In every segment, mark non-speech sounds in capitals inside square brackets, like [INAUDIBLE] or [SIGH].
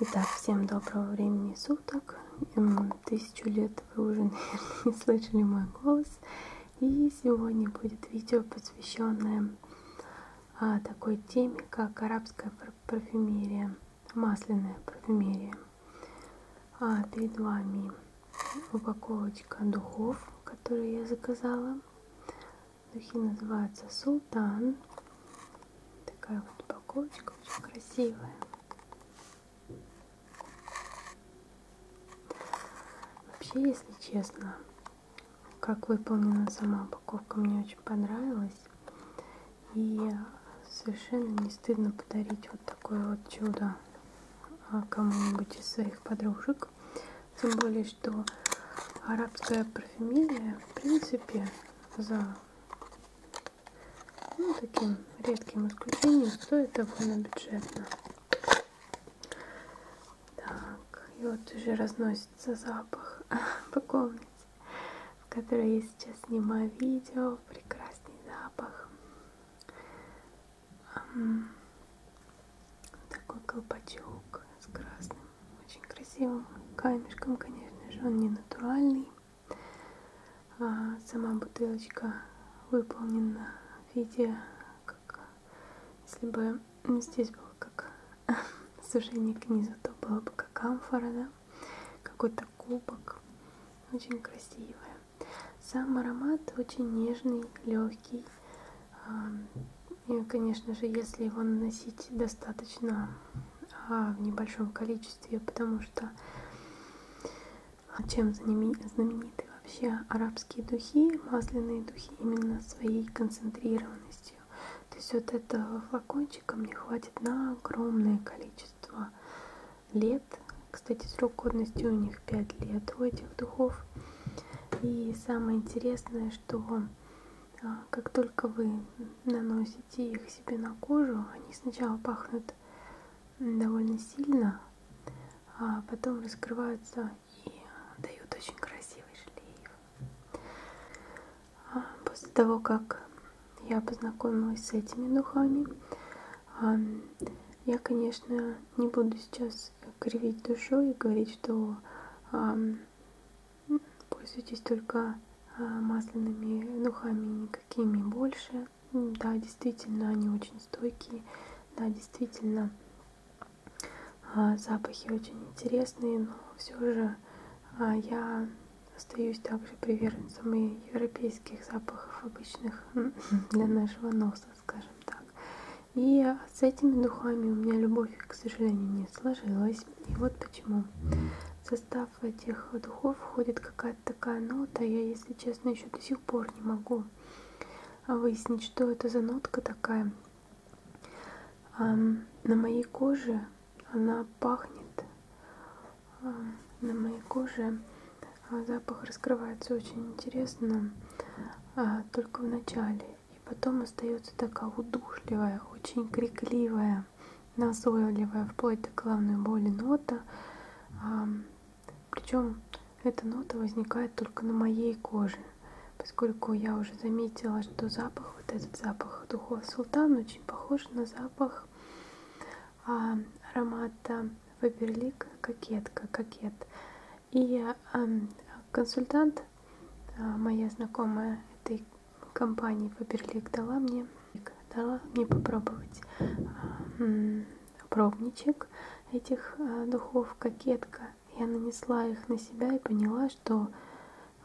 Итак, всем доброго времени суток. Тысячу лет вы уже, [LAUGHS] наверное, не слышали мой голос. И сегодня будет видео, посвященное а, такой теме, как арабская парфюмерия, масляная парфюмерия. А, перед вами упаковочка духов, которые я заказала. Духи называются Султан. Такая вот упаковочка, очень красивая. Вообще, если честно, как выполнена сама упаковка, мне очень понравилась. И совершенно не стыдно подарить вот такое вот чудо. А, кому-нибудь из своих подружек. Тем более, что арабская парфюмерия, в принципе, за ну, таким редким исключением стоит довольно бюджетно. Так, и вот уже разносится запах [LAUGHS] по комнате, в которой я сейчас снимаю видео. Прекрасный запах такой колпачок с красным, очень красивым камешком, конечно же, он не натуральный. А сама бутылочка выполнена в виде, как если бы ну, здесь было как [LAUGHS] сужение к низу, то было бы как амфора, да? какой-то кубок, очень красивая. Сам аромат очень нежный, легкий. И, конечно же, если его наносить достаточно а в небольшом количестве, потому что чем знамениты вообще арабские духи, масляные духи именно своей концентрированностью. То есть вот этого флакончика мне хватит на огромное количество лет, кстати, срок годности у них 5 лет у этих духов. И самое интересное, что а, как только вы наносите их себе на кожу, они сначала пахнут довольно сильно, а потом раскрываются и дают очень красивый шлейф. А после того, как я познакомилась с этими духами, я, конечно, не буду сейчас сейчас кривить душу и говорить, что э, пользуйтесь только а, масляными духами, никакими больше. Да, действительно, они очень стойкие. Да, действительно, а, запахи очень интересные, но все же а, я остаюсь также приверженцем и европейских запахов обычных [LAUGHS] для нашего носа, скажем так. И с этими духами у меня любовь, к сожалению, не сложилась. И вот почему. В состав этих духов входит какая-то такая нота. Я, если честно, еще до сих пор не могу выяснить, что это за нотка такая. На моей коже она пахнет. На моей коже а, запах раскрывается очень интересно а, только в начале и потом остается такая удушливая очень крикливая назойливая вплоть до главной боли нота а, причем эта нота возникает только на моей коже поскольку я уже заметила что запах вот этот запах духов султан очень похож на запах а, аромата Фаберлик кокетка кокет и консультант, а, моя знакомая этой компании Фаберлик, дала мне, дала мне попробовать а, пробничек этих а, духов «Кокетка». Я нанесла их на себя и поняла, что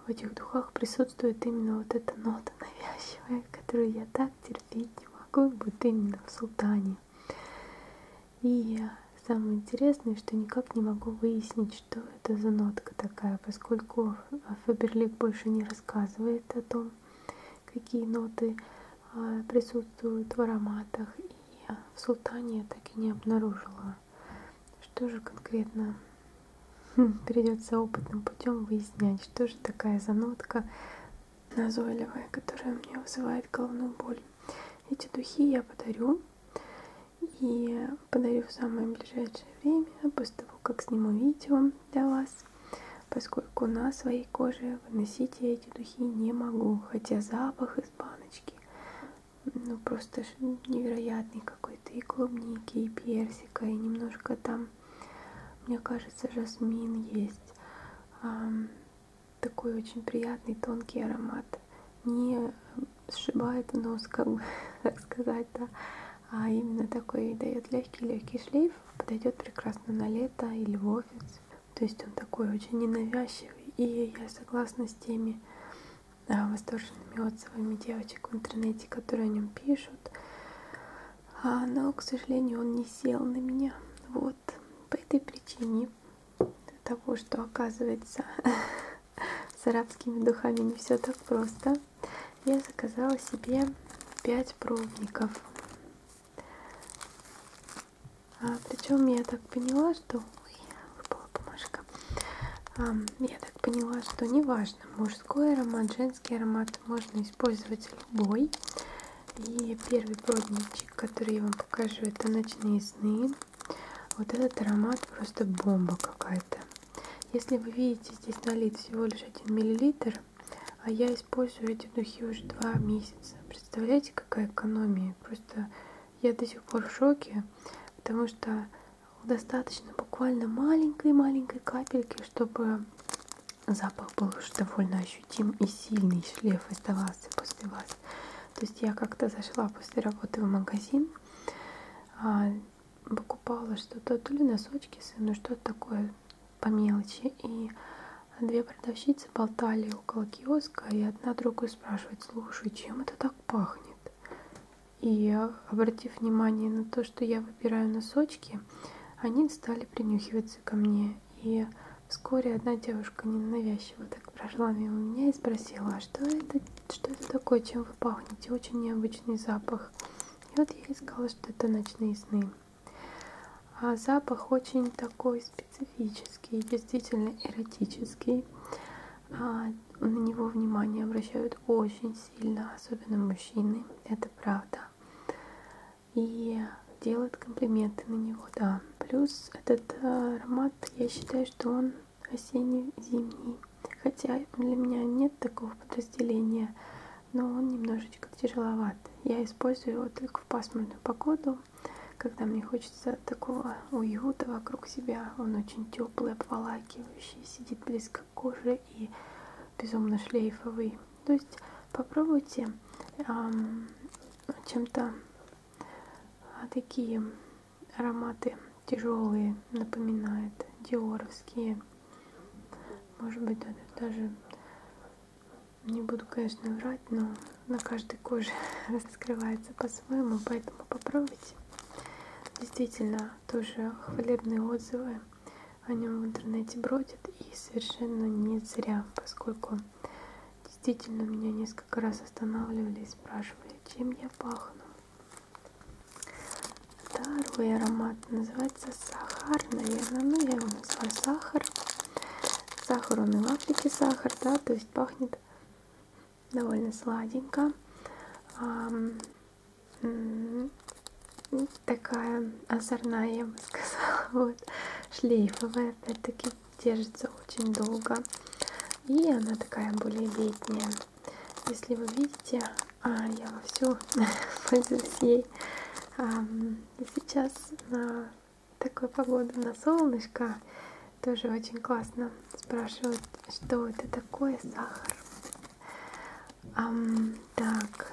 в этих духах присутствует именно вот эта нота навязчивая, которую я так терпеть не могу, будет именно в султане. И самое интересное, что никак не могу выяснить, что это за нотка такая, поскольку Фаберлик больше не рассказывает о том, какие ноты а, присутствуют в ароматах. И в султане я так и не обнаружила, что же конкретно хм, придется опытным путем выяснять, что же такая занотка назойливая, которая мне вызывает головную боль. Эти духи я подарю. И подарю в самое ближайшее время, после того, как сниму видео для вас. Поскольку на своей коже выносить я эти духи не могу. Хотя запах из баночки, ну просто невероятный какой-то. И клубники, и персика, и немножко там, мне кажется, жасмин есть такой очень приятный тонкий аромат. Не сшибает нос, как бы [LAUGHS] так сказать, да. А именно такой дает легкий-легкий шлейф. Подойдет прекрасно на лето или в офис. То есть он такой очень ненавязчивый. И я согласна с теми да, восторженными отзывами девочек в интернете, которые о нем пишут. А, но, к сожалению, он не сел на меня. Вот по этой причине того, что оказывается [LAUGHS] с арабскими духами не все так просто, я заказала себе 5 пробников. А, Причем я так поняла, что... Ой, выпала бумажка. А, я так поняла, что неважно, мужской аромат, женский аромат, можно использовать любой. И первый пробник ароматик, который я вам покажу, это ночные сны. Вот этот аромат просто бомба какая-то. Если вы видите, здесь налит всего лишь 1 миллилитр, а я использую эти духи уже 2 месяца. Представляете, какая экономия? Просто я до сих пор в шоке, потому что достаточно буквально маленькой-маленькой капельки, чтобы запах был уж довольно ощутим ощутим и сильный шлейф оставался после вас. То есть я как-то зашла после работы в магазин, а, покупала что-то, то ли носочки сыну, что-то такое по мелочи. И две продавщицы болтали около киоска, и одна другую спрашивает, слушай, чем это так пахнет? И обратив внимание на то, что я выбираю носочки, они стали принюхиваться ко мне меня, и вскоре одна девушка ненавязчиво так прошла мимо меня и спросила, а что это, что это такое, чем вы пахнете, очень необычный запах. И вот я и сказала, что это ночные сны. А запах очень такой специфический, действительно эротический. А на него внимание обращают очень сильно, особенно мужчины, это правда. И делают комплименты на него, да. Плюс этот аромат э, формат, я считаю, что он осенне-зимний. Хотя для меня нет такого подразделения, но он немножечко тяжеловат. Я использую его только в пасмурную погоду, когда мне хочется такого уюта вокруг себя. Он очень теплый, обволакивающий, сидит близко к коже и безумно шлейфовый. То есть попробуйте эм, чем-то а такие ароматы тяжелые напоминает диоровские может быть даже не буду конечно врать но на каждой коже [LAUGHS] раскрывается по-своему поэтому попробуйте действительно тоже хвалебные отзывы о нем в интернете бродят и совершенно не зря поскольку Действительно, меня несколько раз останавливали и спрашивали, чем я пахну. Второй аромат называется сахар, наверное. Ну, я его называю сахар. Сахар, он и в Африке сахар, да, то есть пахнет довольно сладенько. А, такая озорная, я бы сказала, [LAUGHS] вот, шлейфовая, опять-таки, держится очень долго. И она такая более летняя. Если вы видите, а, я вовсю [LAUGHS] пользуюсь ей. Сейчас на такую погоду, на солнышко, тоже очень классно. Спрашивают, что это такое сахар. Um, так,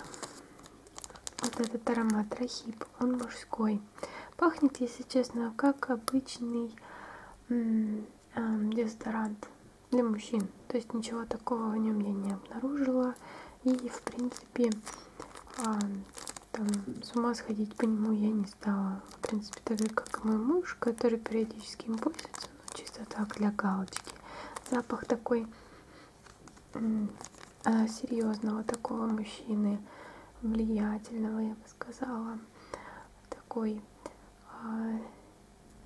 вот этот аромат рахип, он мужской. Пахнет, если честно, как обычный эм, дезодорант для мужчин. То есть ничего такого в нем я не обнаружила. И, в принципе, эм, там, с ума сходить по нему я не стала. В принципе, так же, как и мой муж, который периодически им пользуется, но чисто так, для галочки. Запах такой э, серьезного такого мужчины, влиятельного, я бы сказала, такой э,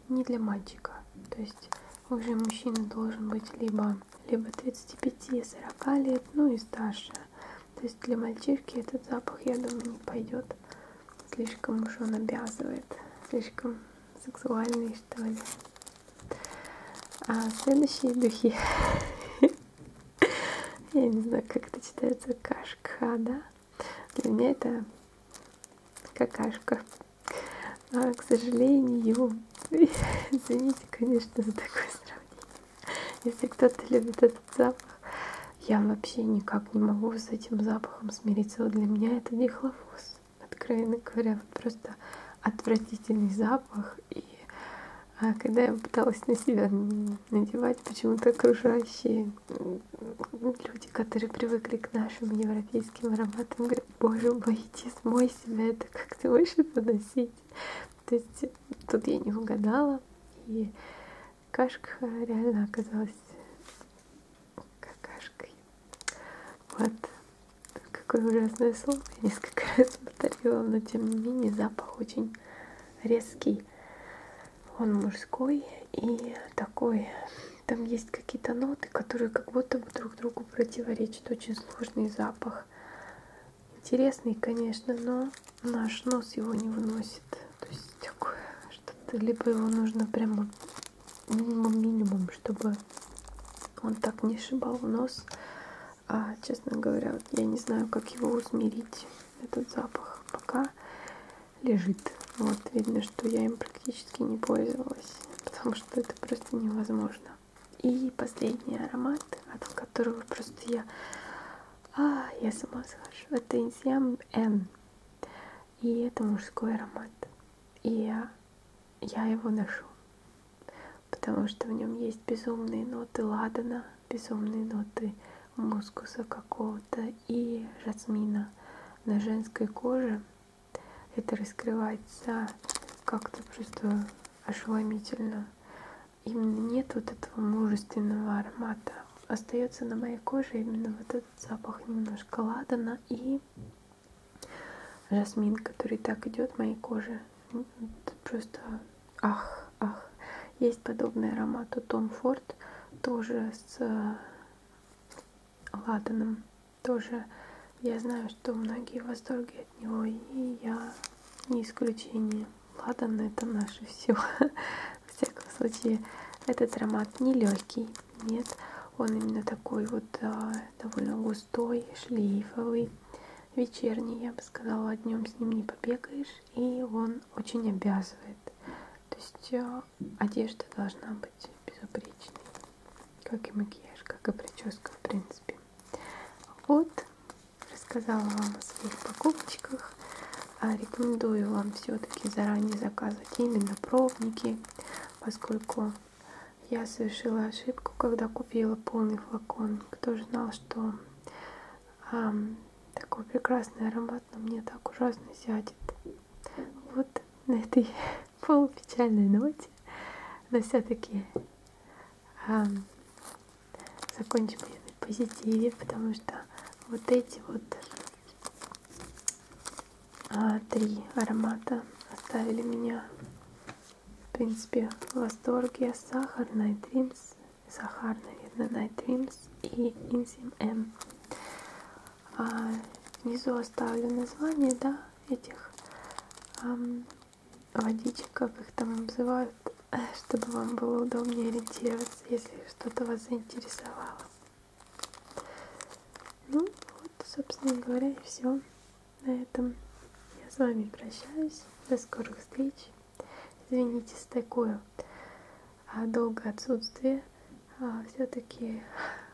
не для мальчика. То есть уже мужчина должен быть либо, либо 35-40 лет, ну и старше. То есть для мальчишки этот запах, я думаю, не пойдет. Слишком уж он обязывает. Слишком сексуальный, что ли. А следующие духи. [LAUGHS] Я не знаю, как это читается. Кашка, да? Для меня это какашка. А, к сожалению, [LAUGHS] извините, конечно, за такое сравнение. Если кто-то любит этот запах, я вообще никак не могу с этим запахом смириться. Вот для меня это дихлофос. Откровенно говоря, вот просто отвратительный запах. И а, когда я пыталась на себя надевать почему-то окружающие люди, которые привыкли к нашим европейским ароматам, говорят, боже мой, иди смой себя, это как ты можешь это носить? То есть тут я не угадала, и кашка реально оказалась какашкой. Вот какое ужасное слово, я несколько [LAUGHS] раз повторила, но тем не менее запах очень резкий. Он мужской и такой. Там есть какие-то ноты, которые как будто бы друг другу противоречат. Очень сложный запах. Интересный, конечно, но наш нос его не выносит. То есть такое что-то. Либо его нужно прямо минимум-минимум, чтобы он так не шибал нос. А, честно говоря, вот я не знаю, как его усмирить этот запах пока лежит. Вот видно, что я им практически не пользовалась, потому что это просто невозможно. И последний аромат, от которого просто я... А, я с ума схожу. Это Инсиам Н. И это мужской аромат. И я, я его ношу. Потому что в нем есть безумные ноты ладана, безумные ноты мускуса какого-то и жасмина на женской коже. Это раскрывается как-то просто ошеломительно. Именно нет вот этого мужественного аромата. Остается на моей коже именно вот этот запах немножко ладана и жасмин, который так идет моей коже. Это просто Ах, ах. Есть подобный аромат у Том Форд, тоже с э, ладаном. Тоже я знаю, что многие в восторге от него, и я не исключение. Ладан это наше все. [LAUGHS] В всяком случае, этот аромат не легкий, нет. Он именно такой вот а, довольно густой, шлейфовый, вечерний, я бы сказала, днем с ним не побегаешь, и он очень обязывает. То есть э, одежда должна быть безупречной, как и макияж, как и прическа в принципе. Вот, рассказала вам о своих покупочках. А, рекомендую вам все-таки заранее заказывать именно пробники, поскольку я совершила ошибку, когда купила полный флакон. Кто же знал, что такой прекрасный аромат, но мне так ужасно сядет. Вот на этой [LAUGHS] полупечальной ноте, но все-таки а, закончим я на позитиве, потому что вот эти вот а, три аромата оставили меня, в принципе, в восторге. Сахарный, Dreams Сахар, наверное, Night Dreams и Insim M. А, внизу оставлю название, да, этих эм, водичек, как их там обзывают, [LAUGHS] чтобы вам было удобнее ориентироваться, если что-то вас заинтересовало. Ну, вот, собственно говоря, и все. На этом я с вами прощаюсь. До скорых встреч. Извините с такое а, долгое отсутствие. А, Все-таки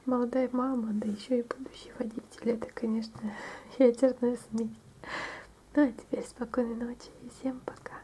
молодая мама, да еще и будущий водитель, это, конечно, [LAUGHS] ядерная смесь. Ну а теперь спокойной ночи и всем пока.